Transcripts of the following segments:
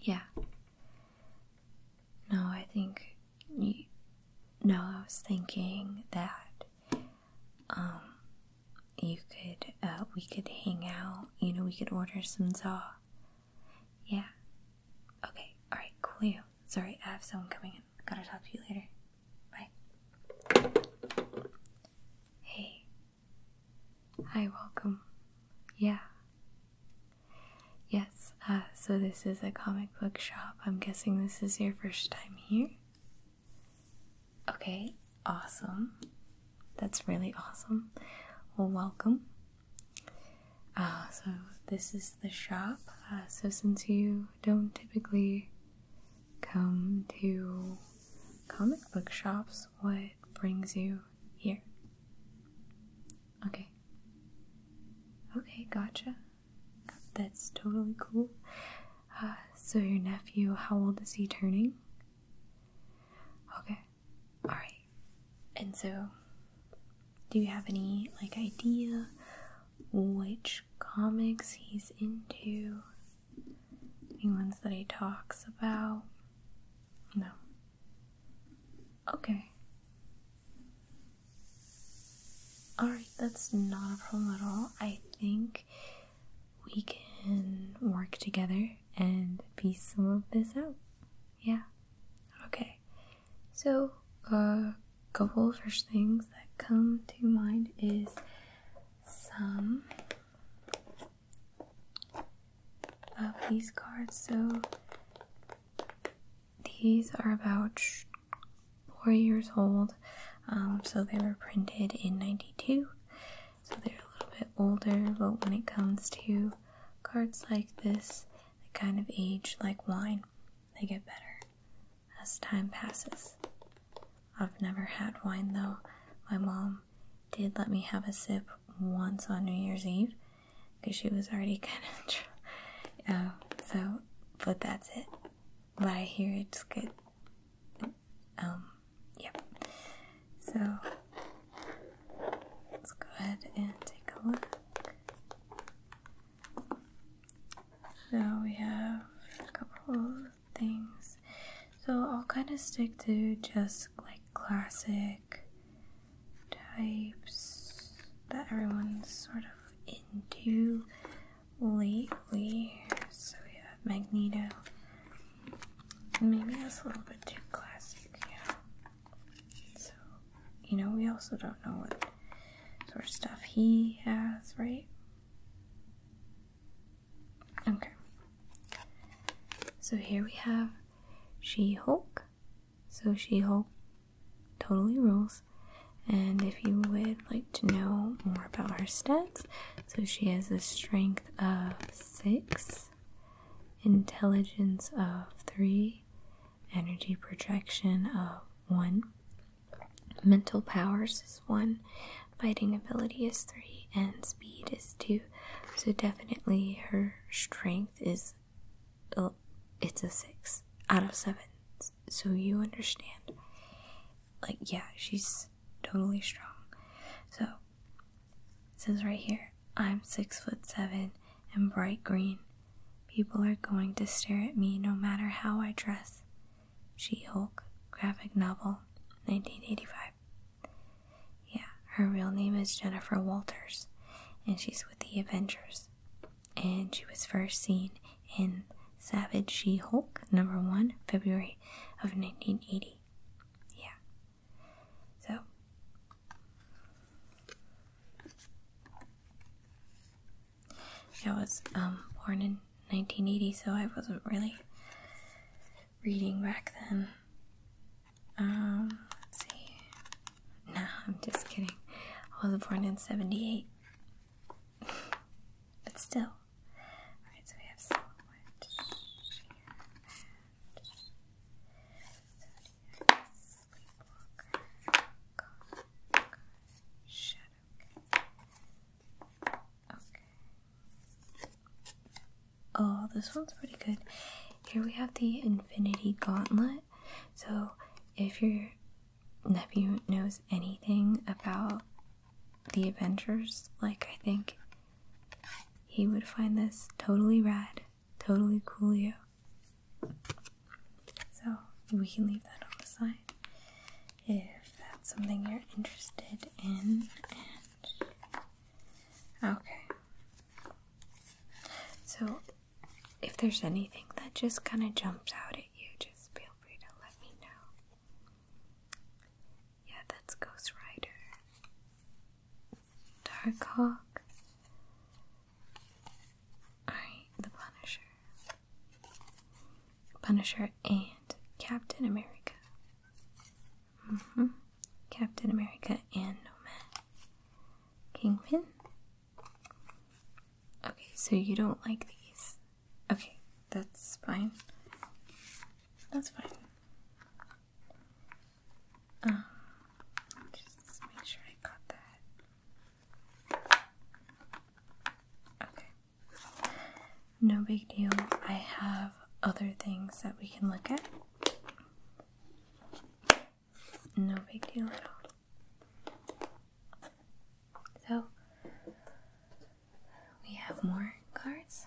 Yeah. No, I think. You, no, I was thinking that um, you could, uh, we could hang out. You know, we could order some za. Yeah. Okay. All right. Cool. Sorry, I have someone coming in. Gotta talk to you later. Bye. Hey. Hi, welcome. Yeah. Yes, uh, so this is a comic book shop. I'm guessing this is your first time here. Okay, awesome. That's really awesome. Well, welcome. Uh, so, this is the shop. Uh, so, since you don't typically come to comic book shops, what brings you here? Okay. Okay, gotcha. That's totally cool. Uh, so, your nephew, how old is he turning? Okay. Alright. And so, do you have any like idea which comics he's into? Any ones that he talks about? No. Okay. Alright, that's not a problem at all. I think we can work together and piece some of this out. Yeah. Okay so a uh, couple of first things that come to mind is some of these cards. So these are about four years old, um, so they were printed in '92, so they're a little bit older. But when it comes to cards like this, they kind of age like wine. They get better as time passes. I've never had wine though. My mom did let me have a sip once on New Year's Eve because she was already kind of drunk. Uh, so, but that's it. But I hear it's good. Um, yep. So, let's go ahead and take a look. Now we have a couple of things. So I'll kind of stick to just like classic types that everyone's sort of into lately. So we have Magneto. Maybe that's a little bit too classic, so, you know, we also don't know what sort of stuff he has, right? Okay. So here we have She Hulk. So She Hulk totally rules. And if you would like to know more about her stats, so she has a strength of 6, intelligence of 3, energy projection of one, mental powers is one, fighting ability is three, and speed is two. So definitely her strength is uh, it's a six out of seven. So you understand. Like yeah, she's totally strong. So it says right here, I'm six foot seven and bright green People are going to stare at me no matter how I dress. She Hulk, graphic novel, 1985. Yeah, her real name is Jennifer Walters, and she's with the Avengers. And she was first seen in Savage She Hulk, number one, February of 1980. Yeah. So, I was um, born in 1980, so I wasn't really reading back then. Um, see. No, I'm just kidding. I was born in 78. but still. Oh, this one's pretty good. Here we have the Infinity Gauntlet. So, if your nephew knows anything about the Avengers, like I think he would find this totally rad. Totally cool, yeah. So we can leave that on the side if that's something you're interested in. okay. So if there's anything that just kind of jumps out at you, just feel free to let me know. Yeah, that's Ghost Rider. Darkhawk. Alright, the Punisher. Punisher and Captain America. Mm-hmm. Captain America and Nomad. Kingpin. Okay, so you don't like these. Okay, that's fine. That's fine. Uh, just make sure I got that. Okay. No big deal. I have other things that we can look at. No big deal at all. So, we have more cards,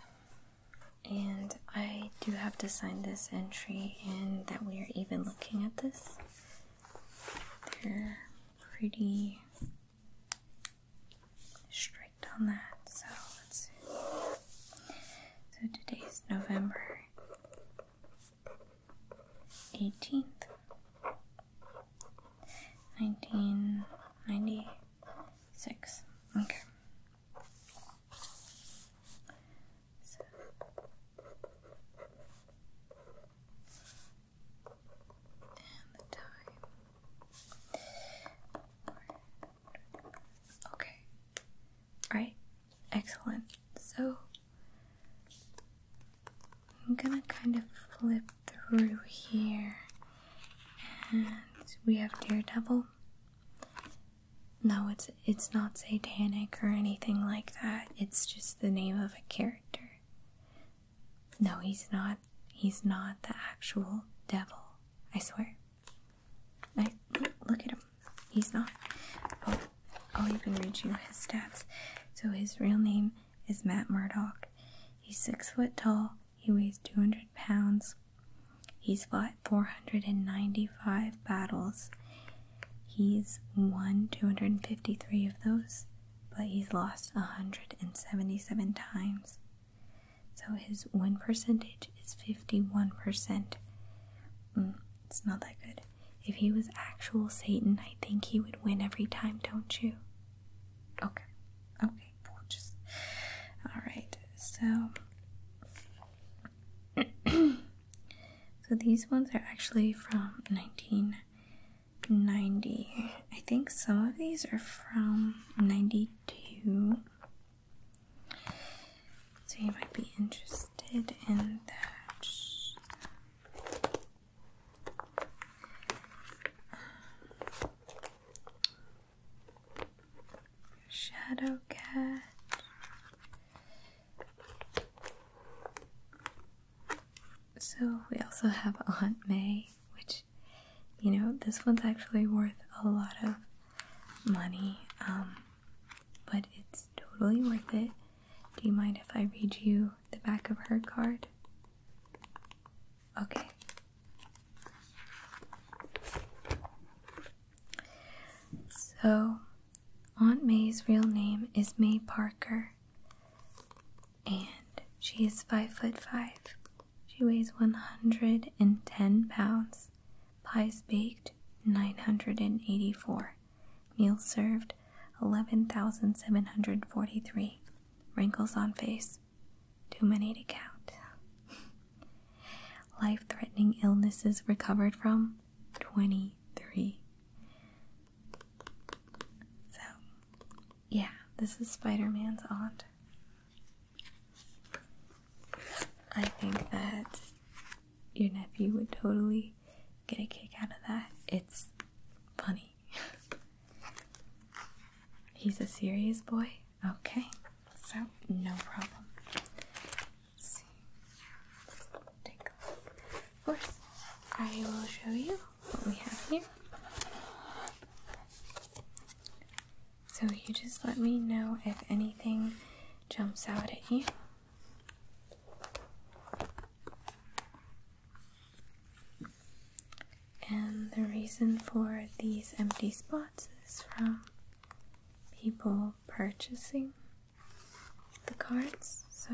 and I do have to sign this entry and that we are even looking at this. They're pretty strict on that, so So today's November 18th, 1996. Okay. Okay. Alright. Excellent. So I'm gonna kind of flip through here and we have Daredevil no, it's it's not satanic or anything like that. It's just the name of a character. No, he's not he's not the actual devil. I swear. I look at him. He's not. Oh, I'll even read you his stats. So his real name is Matt Murdock. He's six foot tall. He weighs 200 pounds. He's 5'5 495 battles. He's won 253 of those, but he's lost 177 times. So his win percentage is 51%. Mm, it's not that good. If he was actual Satan, I think he would win every time, don't you? Okay. Okay, Alright, so. So these ones are actually from 1990. I think some of these are from 92. So you might be interested in that. Shadow Cat. So we also have Aunt May, which you know this one's actually worth a lot of money, um, but it's totally worth it. Do you mind if I read you the back of her card? Okay. So, Aunt May's real name is May Parker, and she is five foot five. She weighs 110 pounds. Pies baked 984. Meals served 11,743. Wrinkles on face too many to count. Life threatening illnesses recovered from 23. So, yeah, this is Spider Man's aunt. I think that your nephew would totally get a kick out of that. It's funny. He's a serious boy? Okay, so no problem. Take a look. I will show you what we have here. So you just let me know if anything jumps out at you. And the reason for these empty spots is from people purchasing the cards, so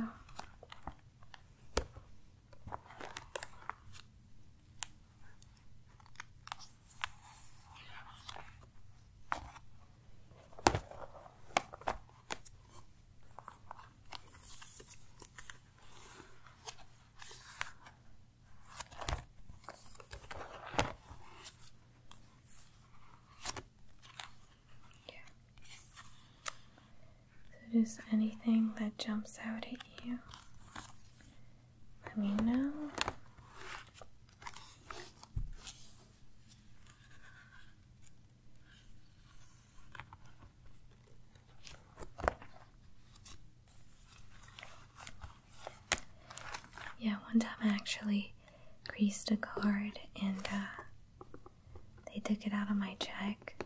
so just anything that jumps out at you, let me know. Yeah, one time I actually creased a card and uh, they took it out of my check,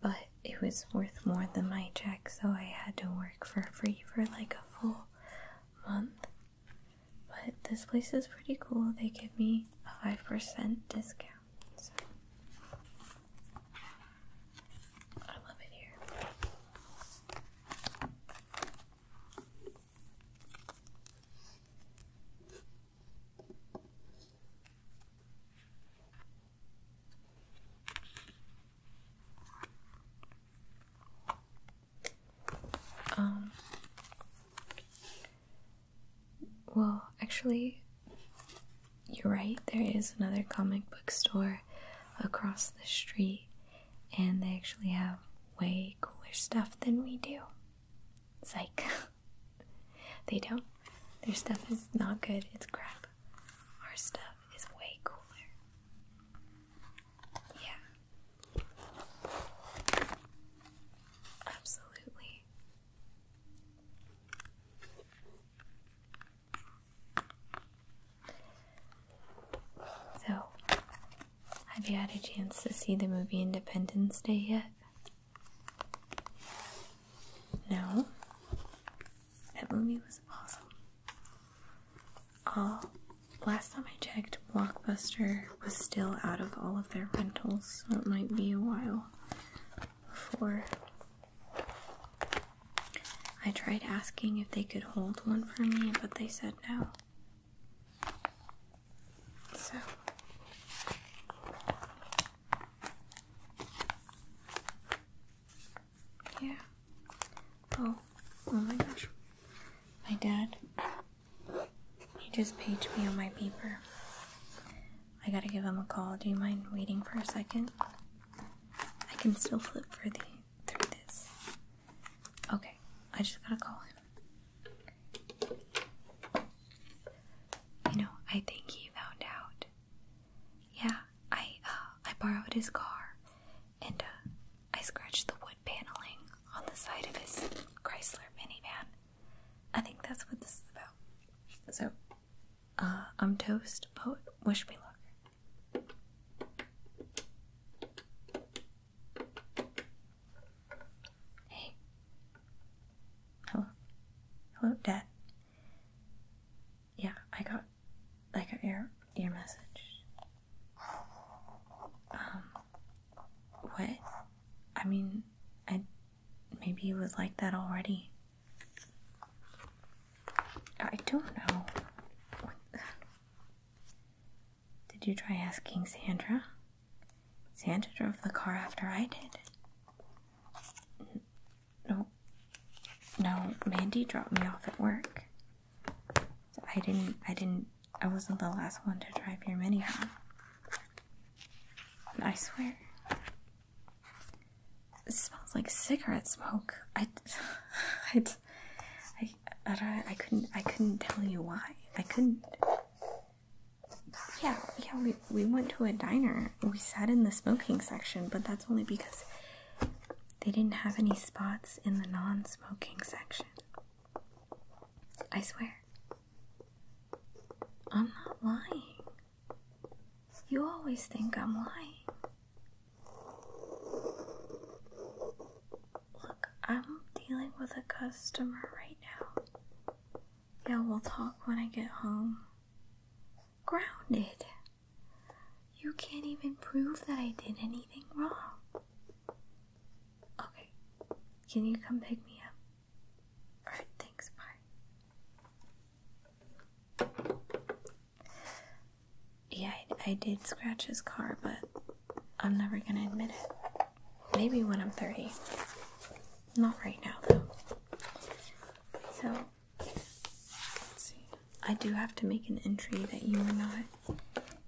but it was worth more than my check, so I had to work for free for like a full month. But this place is pretty cool. They give me a 5% discount. So. I love it here. Um, well, actually, you're right, there is another comic book store across the street, and they actually have way cooler stuff than we do. It's like they don't. Their stuff is not good, it's crap. Our stuff is way cooler. Yeah. Absolutely. So, have you had a chance to see the movie Independence Day yet? No? That movie was awesome. All last time I checked, Blockbuster was still out of all of their rentals, so it might be a while before I tried asking if they could hold one for me, but they said no. So. Yeah. Oh, oh my gosh. My dad, he just paged me on my beeper. I gotta give him a call. Do you mind waiting for a second? I can still flip for these through this. Okay, I just gotta call him. You know, I think he found out. Yeah, I uh, I borrowed his car, and uh, I scratched the wood paneling on the side of his Chrysler minivan. I think that's what this is about. So, uh, I'm toast, but wish me luck. Hey. Hello. Hello, Dad. Yeah, I got I got your, your message. Um what? I mean I maybe it was like that already. I don't know. What, did you try asking Sandra? Sandra drove the car after I did. No, no, Mandy dropped me off at work. I didn't, I didn't, I wasn't the last one to drive your minivan. I swear. It smells like cigarette smoke. I, I I I couldn't I couldn't tell you why. I couldn't. Yeah, yeah, we we went to a diner. We sat in the smoking section, but that's only because they didn't have any spots in the non-smoking section. I swear. I'm not lying. You always think I'm lying. Look, I'm dealing with a customer right now. Yeah, we'll talk when I get home. Grounded. You can't even prove that I did anything wrong. Okay, can you come pick me up? Alright, thanks, bye. Yeah, I, did scratch his car, but I'm never gonna admit it. Maybe when I'm 30. Not right now, though. So, I do have to make an entry that you are not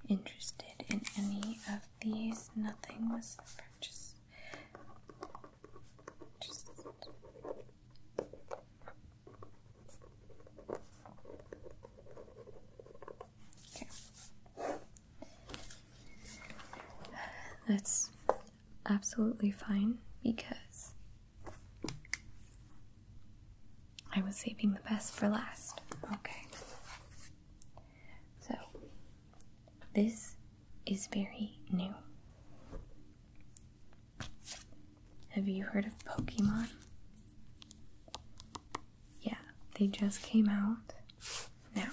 interested in any of these. Nothing was purchased. Okay. That's absolutely fine because I was saving the best for last. Okay. So, this is very new. Have you heard of Pokemon? Yeah, they just came out. Now,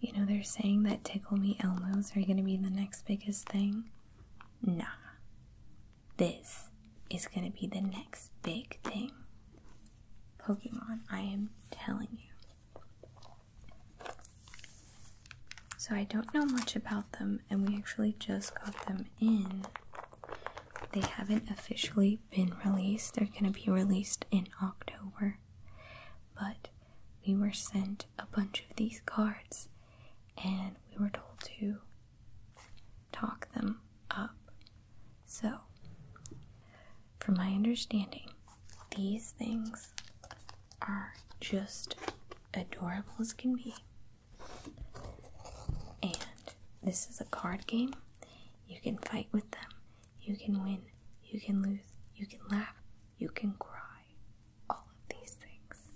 you know, they're saying that Tickle Me Elmos are going to be the next biggest thing. Nah, this is going to be the next big thing. Pokemon, I am telling you. So I don't know much about them, and we actually just got them in. They haven't officially been released, they're going to be released in October. But we were sent a bunch of these cards, and we were told to talk them up. So, from my understanding, these things are just adorable as can be. And this is a card game. You can fight with them, you can win, you can lose, you can laugh, you can cry. All of these things.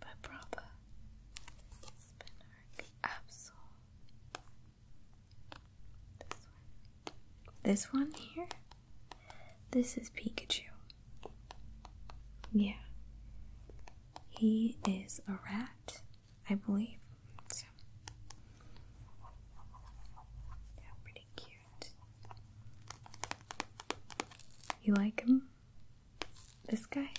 But Brava, Spinark, Absol, this one here? This is Pikachu. Yeah. He is a rat, I believe. Yeah, pretty cute. You like him? This guy?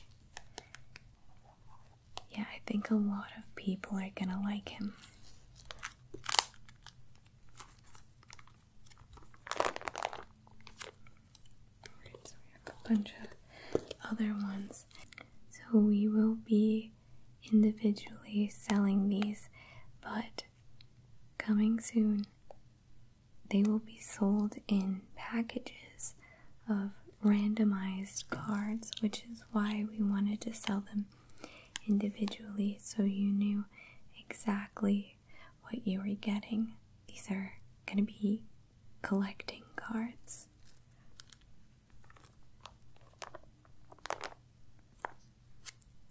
Yeah, I think a lot of people are gonna like him. so we have a bunch of other ones. So we will be individually selling these, but coming soon, they will be sold in packages of randomized cards, which is why we wanted to sell them individually so you knew exactly what you were getting. These are going to be collecting cards.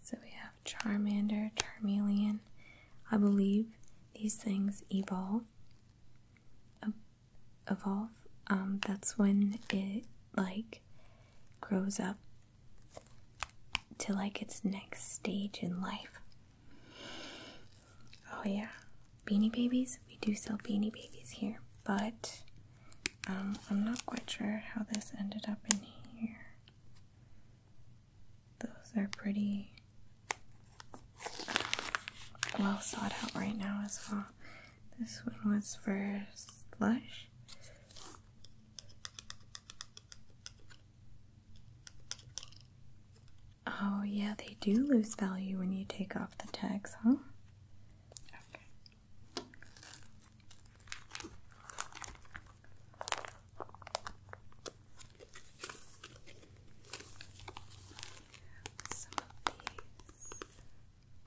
So we have Charmander, Charmeleon. I believe these things evolve evolve, um, that's when it like grows up to like its next stage in life. Oh yeah, beanie babies. We do sell beanie babies here, but um, I'm not quite sure how this ended up in here. Those are pretty well sought out right now as well. This one was for Slush. Oh, yeah, they do lose value when you take off the tags, huh?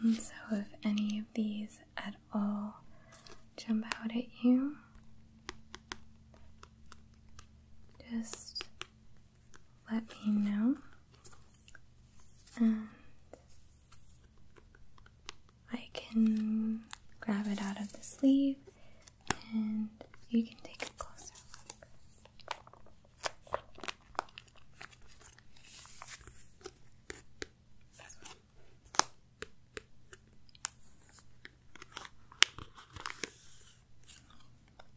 And um, so, if any of these at all jump out at you, just let me know, and I can grab it out of the sleeve and you can take a closer look.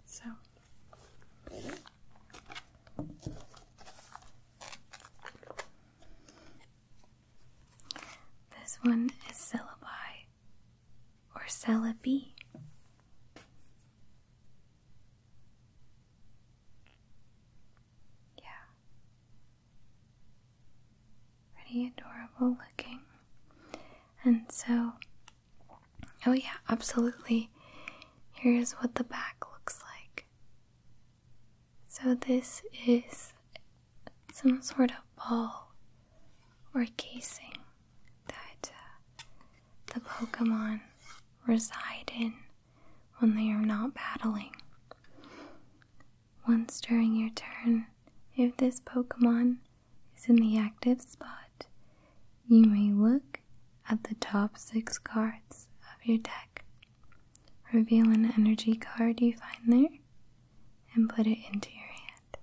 So this one is syllabi or syllabi. Yeah. Pretty adorable looking. And so, oh, yeah, absolutely. Here's what the back looks like. So, this is some sort of ball or casing that uh, the Pokemon reside in when they are not battling. Once during your turn, if this Pokemon is in the active spot, you may look at the top six cards of your deck. Reveal an energy card you find there and put it into your hand.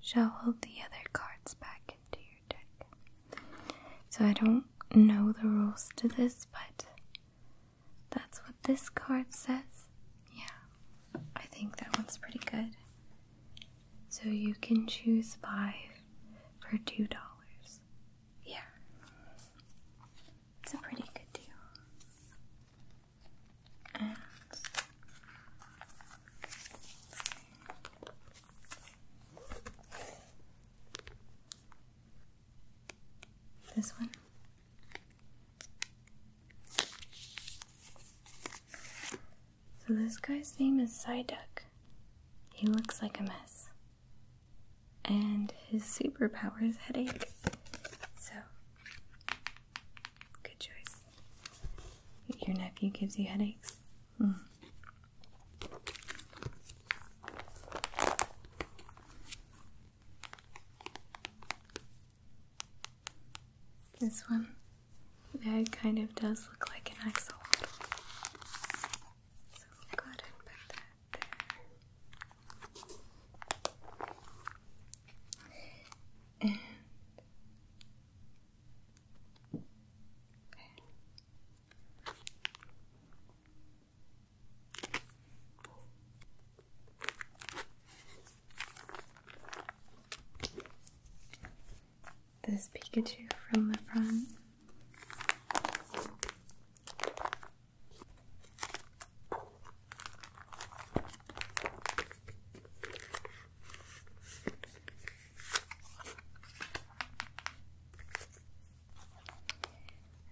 Shuffle the other cards back into your so I don't know the rules to this, but that's what this card says. Yeah, I think that one's pretty good. So you can choose five for two dollars. Yeah, it's a pretty good deal. And this one. So this guy's name is Psyduck. He looks like a mess. And his superpower is headache. So good choice. Your nephew gives you headaches. This one, that kind of does look like an axolotl. So we'll go ahead put that there. This Pikachu from the front.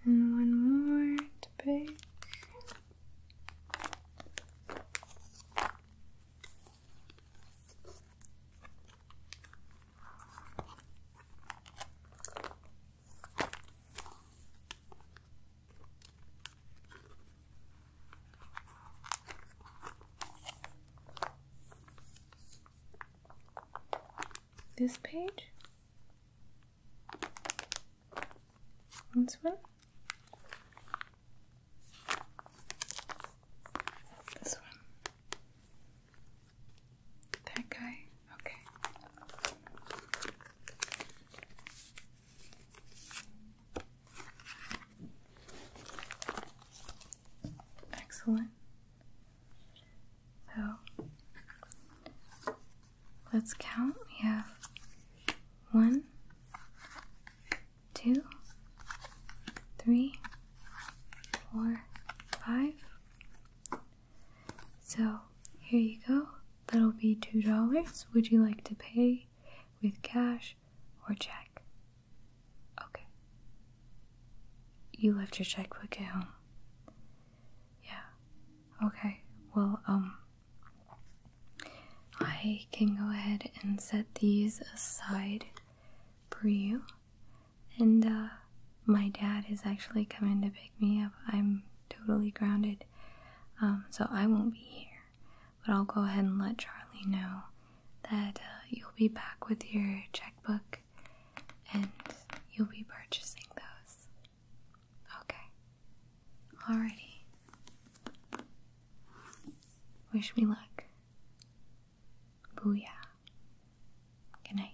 And one more to bake. This page. This one. This one. That guy. Okay. Excellent. So let's count. We have one, two, three, four, five. So here you go. That'll be $2. Would you like to pay with cash or check? Okay. You left your checkbook at home. Yeah. Okay. Well, um, I can go ahead and set these aside for you. And, uh, my dad is actually coming to pick me up. I'm totally grounded. Um, so I won't be here. But I'll go ahead and let Charlie know that uh, you'll be back with your checkbook and you'll be purchasing those. Okay. Alrighty. Wish me luck. Booyah. Good night.